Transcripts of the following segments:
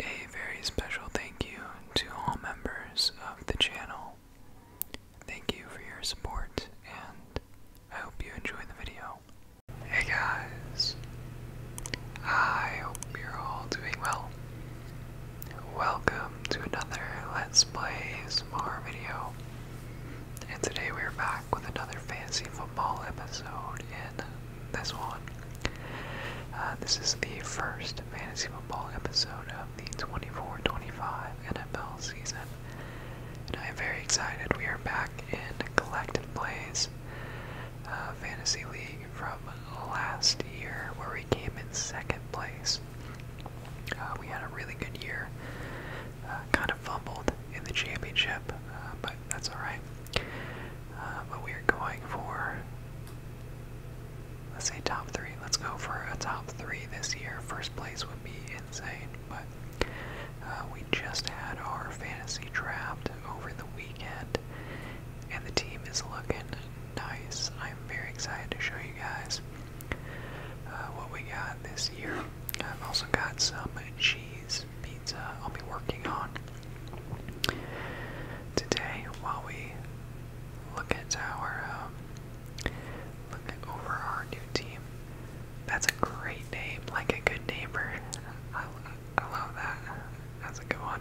A very special thank you to all members of the channel. Thank you for your support, and I hope you enjoy the video. Hey guys, I hope you're all doing well. Welcome to another Let's Play ASMR video. And today we are back with another fantasy football episode. In this one, uh, this is the first fantasy football episode of the 24-25 NFL season, and I am very excited. We are back in collective plays uh, fantasy league from last year, where we came in second place. Uh, we had a really good year. Uh, kind of fumbled in the championship, uh, but that's all right. but we are going for, let's say top three. Let's go for a top three this year. First place would be insane, but we just had our fantasy draft over the weekend, and the team is looking nice. I'm very excited to show you guys. Uh, what we got this year. I've also got some cheese pizza I'll be working on today while we look at our um, look over our new team. That's a great name, like a good neighbor. I, I love that. That's a good one.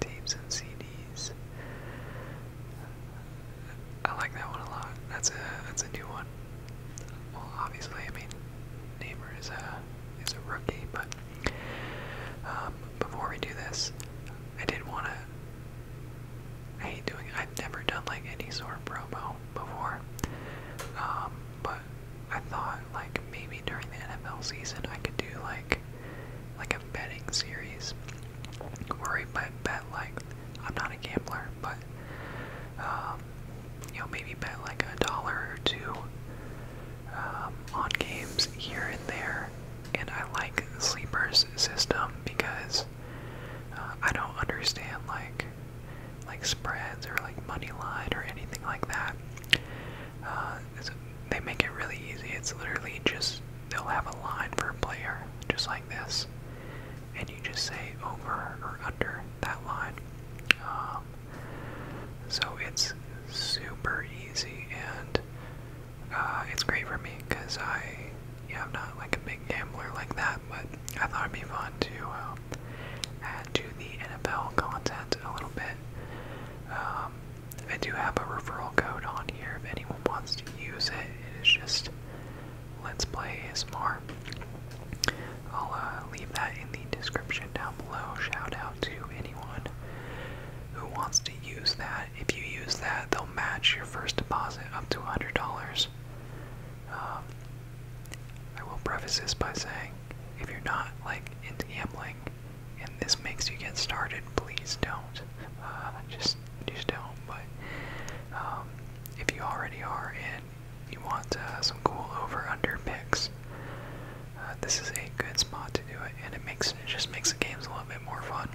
Tapes and CDs. I like that one a lot. That's a that's a new one. Well, obviously, I mean, Neighbor is a is a rookie, but um, before we do this, I did want to. I hate doing. I've never done like any sort of promo before, um, but I thought like maybe during the NFL season I could do like like a betting series where we bet bet like I'm not a gambler, but um, you know, maybe bet like a dollar or two um, on games here and there. And I like the sleepers system because uh, I don't understand like like spreads or like money line or anything like that. Uh, they make it really easy. It's literally just they'll have a line for a player, just like this, and you just say over or under that line. Um, so it's super easy, and uh, it's great for me because I, yeah, I'm not like a big gambler like that, but I thought it'd be fun to um, add to the NFL content a little bit. Um, I do have a referral code on here if anyone wants to use it. It is just Let's Play ASMR. I'll uh, leave that in the description down below. Shout out to anyone who wants to use that. If you use that, they'll match your first deposit up to $100. Um, I will preface this by saying, if you're not like into gambling and this makes you get started, please don't. Uh, just just don't. But um, if you already are and you want uh, some cool over/under picks, uh, this is a good spot to do it, and it makes it just makes the games a little bit more fun.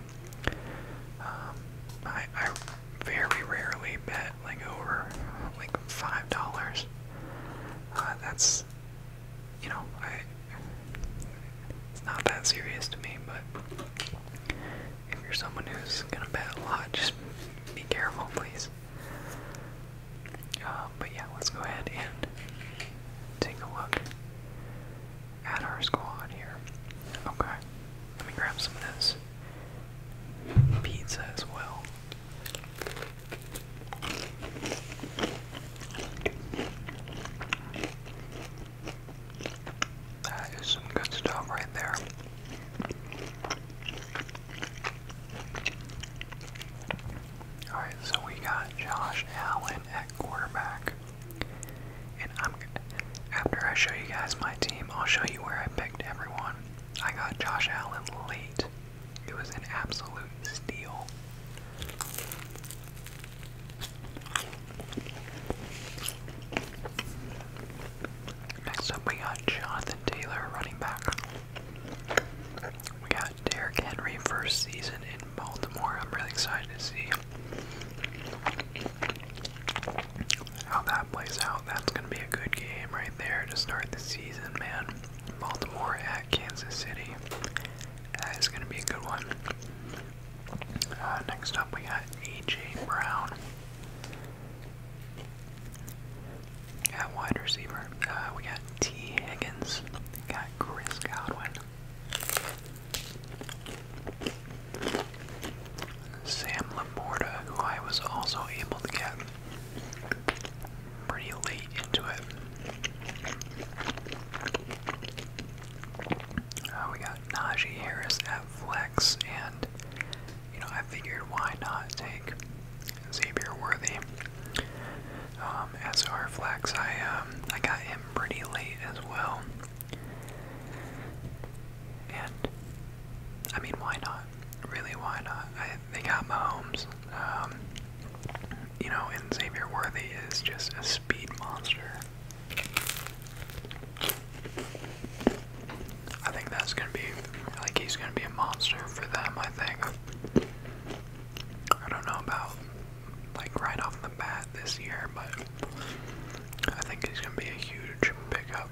Um, I, I very rarely bet like over like five dollars. Uh, that's you know I it's not that serious to me, but if you're someone who's gonna bet a lot, just be careful, please. Uh, but yeah, let's go ahead and take a look at our squad here. Okay, let me grab some of this pizza as well. That is some good stuff right there. Alright, so we got Josh Allen at quarterback. And after I show you guys my team, I'll show you where I picked everyone. I got Josh Allen late. It was an absolute steal. Next up, we got Jonathan Taylor, running back. We got Derrick Henry, first season in Baltimore. I'm really excited to see how that plays out. That's going to be a good game right there to start the season, man. Baltimore at Kansas City. That is going to be a good one. Uh, next up, we got A.J. Brown. At wide receiver, uh, we got T. Higgins. got Chris Godwin. Sam Laporta, who I was also able to get pretty late into it. Uh, we got Najee Harris at flex, and you know I figured why not take Xavier Worthy um, as our flex. I um, I got him pretty late as well, and I mean why not? Really, why not? they got Mahomes. Um, you know, and Xavier Worthy is just a speed monster. I think that's gonna be like he's gonna be a monster for them, I think. I don't know about like right off the bat this year, but I think he's gonna be a huge pickup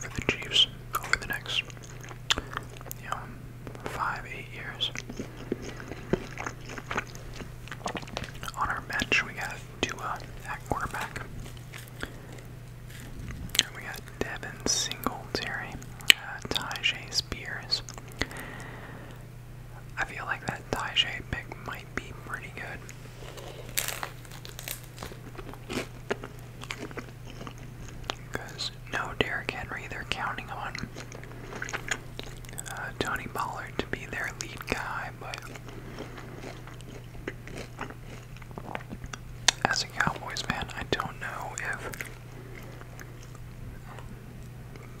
for the Chiefs over the next you know five, eight years. On our bench we got to a uh, at quarterback. And we got Devin Singletary, uh, Tajay Spears. I feel like that Tajay pick might be pretty good. Because no Derrick Henry, they're counting on. Uh, Tony Pollard to be their lead guy, but as a Cowboys fan, I don't know if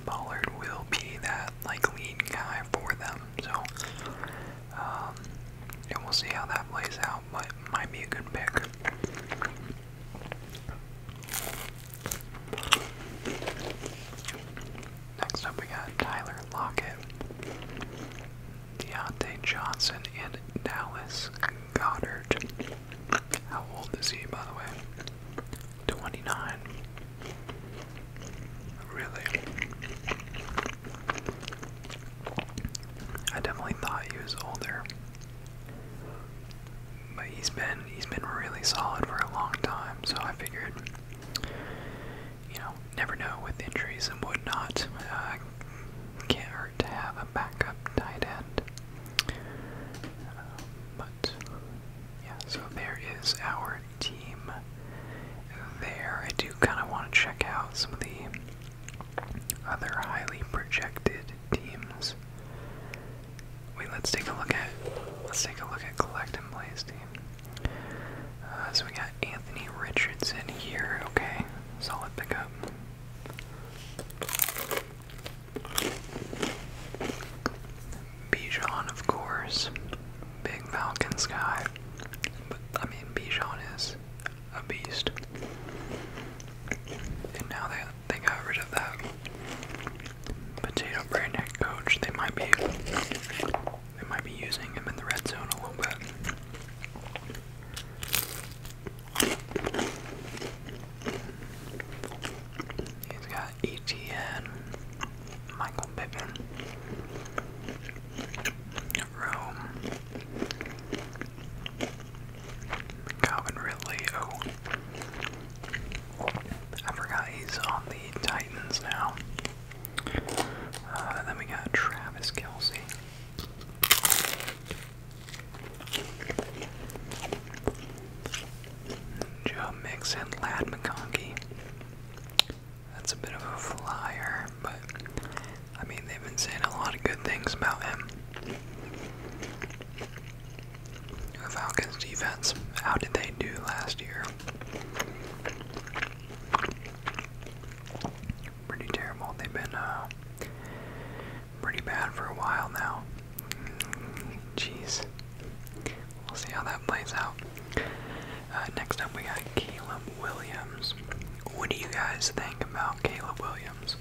Pollard will be that like lead guy for them. So, um, and we'll see how that plays out, but might be a good pick. Next up, we got Tyler Lockett, Deontay Johnson, and Dallas Goddard. How old is he, by the way? 29. Really? I definitely thought he was older. But he's been he's been really solid for a long time, so I figured you know, never know with injuries and whatnot. Uh, can't hurt to have a backup tight end. Uh, but yeah, so there is our team there. I do kind of want to check out some of the other highly projected teams Wait, let's take a look at let's take a look at collect and plays team. so we got Anthony Richardson here. Okay, solid pickup. Bijan, of course, big Falcon Sky. But I mean, Bijan is a beast. And now they they got rid of that potato brain coach. They might be they might be using him in the red zone a little bit. He's got ETN, Michael Pittman, Rome, Calvin Ridley, I forgot he's on the Titans now. Uh, then we got Travis Kelsey. Joe Mixon, Lad McConkey. That's a bit of a flyer, but I mean, they've been saying a lot of good things about him. Falcons defense. How did they do last year? Pretty terrible. They've been uh, pretty bad for a while now. Jeez. We'll see how that plays out. Uh, next up, we got Caleb Williams. What do you guys think about Caleb Williams?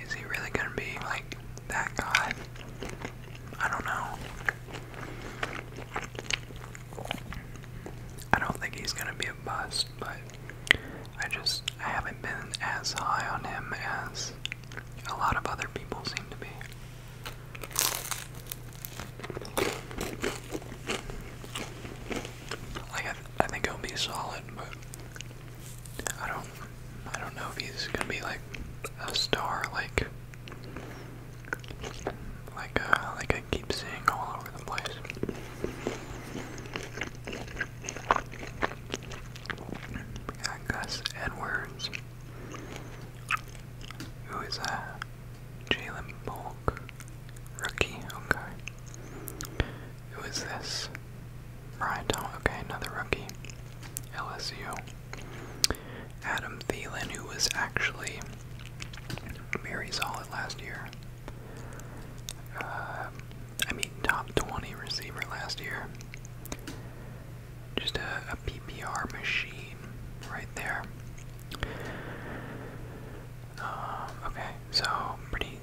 Is he really gonna be like that guy? I don't know. I don't think he's gonna be a bust, but I just I haven't been as high on him as a lot of other people seem to be. Like I, think he'll be solid, but I don't I don't know if he's gonna be like a star like like a, uh, like I keep seeing all over the place. We got Edwards. Who is that? Jalen Bulk. Rookie, okay was this? right? Thomas. Oh, okay, another rookie. LSU. Adam Thielen, who was actually very solid last year. Um, I mean, top 20 receiver last year. Just a PPR machine right there. Um, okay, so pretty,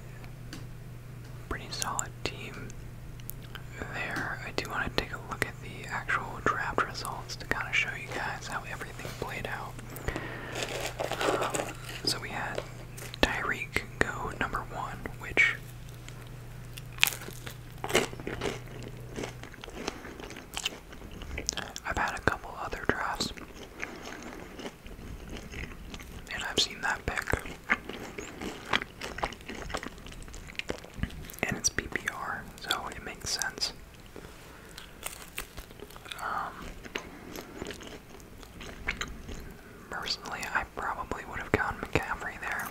pretty solid team there. I do want to take a look at the actual draft results to kind of show you guys how everything played out. Um, so we had Tyreek go number one, which I've had a couple other drafts and I've seen that pick. And it's PPR, so it makes sense. Um, personally, I probably would have gone McCaffrey there.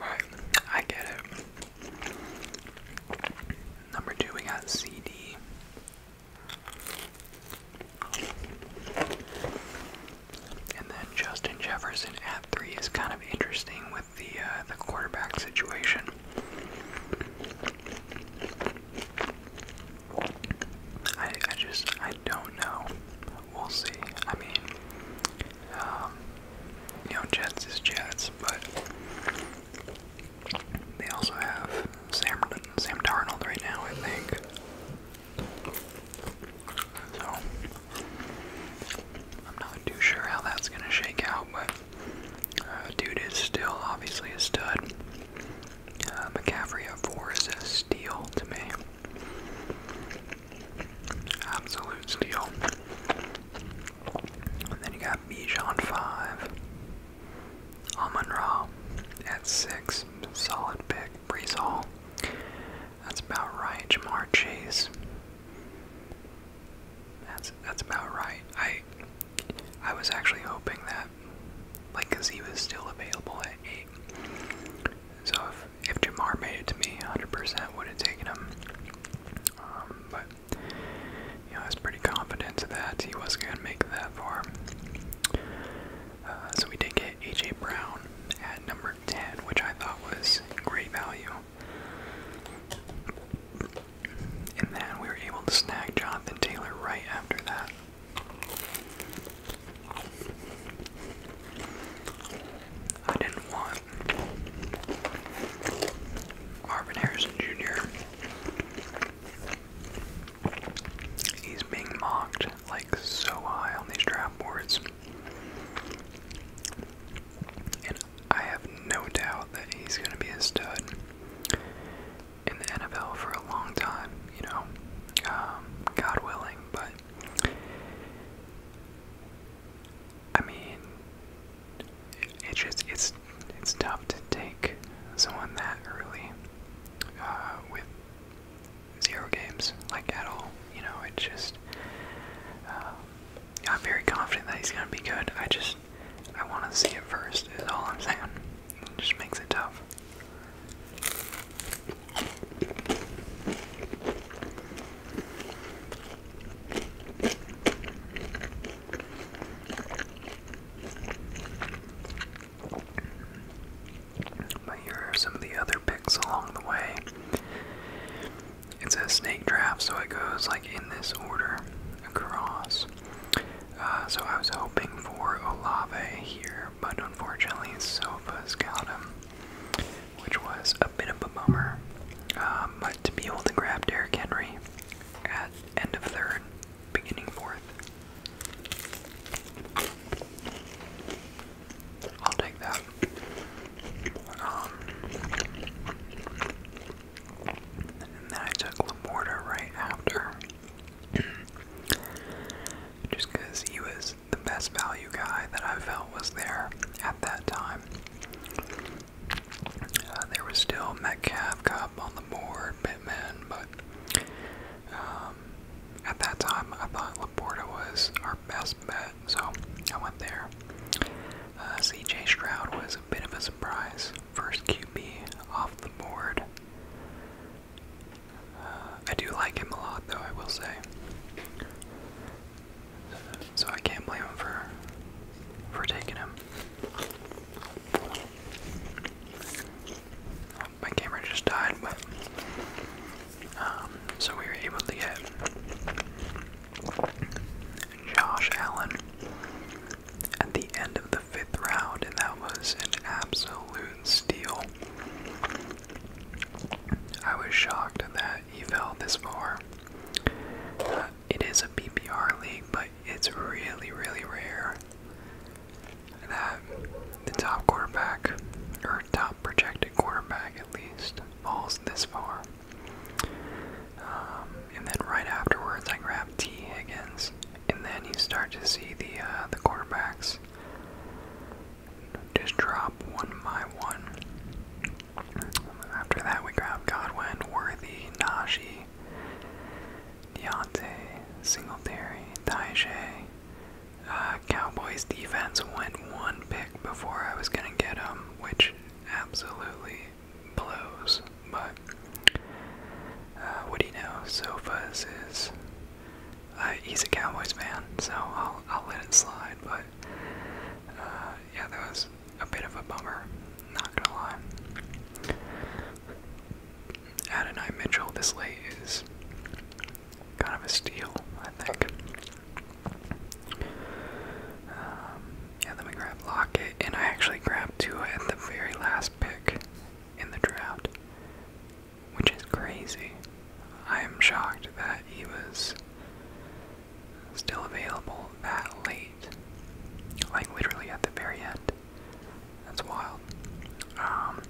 Right, I get it. Number two, we got CD. And then Justin Jefferson at three is kind of interesting with the uh, the quarterback situation. I I just I don't know. We'll see. I mean, um, you know, Jets is Jets, but they also have Sam Sam Darnold right now, I think. So I'm not too sure how that's gonna shake out, but uh, dude is still obviously a stud. Uh, McCaffrey at four is a steal to me. Absolute steal. And then you got Bijan five. Amon Ra at six, solid pick. Brees that's about right. Jamar Chase, that's that's about right. I I was actually hoping that, like, cause he was still available at eight. So if if Jamar made it to me, 100% would have taken him. Um, but you I was pretty confident that he was going to make that far. Uh, so we did get A.J. Brown at number 10, which I thought was great value. And then we were able to snag Jonathan Taylor right after that. I didn't want Marvin Harrison Jr. He's being mocked like so high on these draft boards. And I have no doubt that he's going to be a stud in the NFL for a long time, you know, um, God willing. But, I mean, it's just, it's it's tough to take someone that early uh, with zero games, like at all. You know, it's just. Um, I'm very confident that he's going to be good. I just. I want to see it first, is all I'm saying. just makes it tough. But here are some of the other picks along the way. It's a snake draft, so it goes like in this order across. Uh, so I was hoping for Olave here, but unfortunately Sofa's got him, which was a bit of a bummer. Um, but to be able to grab Derrick Henry at end of third beginning fourth. I'll take that. Um, then I took Laporta right after. Just because he was the best value guy that I felt was there at that time. Uh, there was still Metcalf on the board modern Pittman, but um, at that time I thought Laporta was our best bet, so I went there. Uh, CJ Stroud was a bit of a surprise. First QB off the board. Uh, I do like him a lot, though, I will say. So I can't blame him for for taking him. My camera just died, but um, so we were able to get Josh Allen at the end of the fifth round, and that was an absolute steal. I was shocked that he fell this far. Uh, it is a PPR league, but it's really, really rare that the top quarterback, or top projected quarterback at least, falls this far. Um, and then right afterwards, I grab T. Higgins, and then you start to see the uh, the quarterbacks just drop one by one. After that, we grab Godwin, Worthy, Najee, Moody, Deontay, Singletary, Tajay. Uh, Cowboys defense went one pick before I was gonna get him, which absolutely blows. But uh, what do you know? Sofas is uh, he's a Cowboys man, so I'll I'll let it slide. But uh, yeah, that was a bit of a bummer, not gonna lie. Adonai Mitchell this late is kind of a steal, I think. Um, yeah, then we grabbed Lockett, and I actually grabbed two at the very last pick in the draft, which is crazy. I am shocked that he was still available that late. Like literally at the very end. That's wild. Um,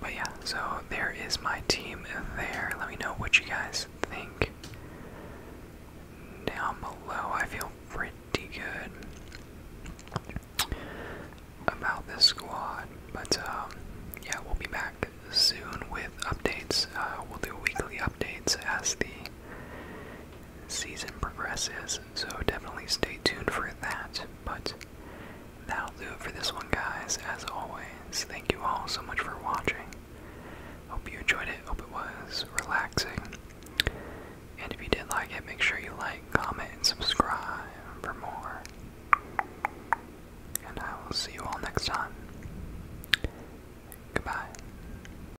but yeah, so there is my team there. Let me know what you guys think down below. I feel pretty good about this squad. But um, yeah, we'll be back soon with updates. Uh, we'll do weekly updates as the season progresses, so definitely stay tuned for that. But that'll do it for this one, guys. As always, thank you all so much for watching. Hope you enjoyed it, hope it was relaxing. And if you did like it, make sure you like, comment, and subscribe for more. And I will see you all next time. Goodbye.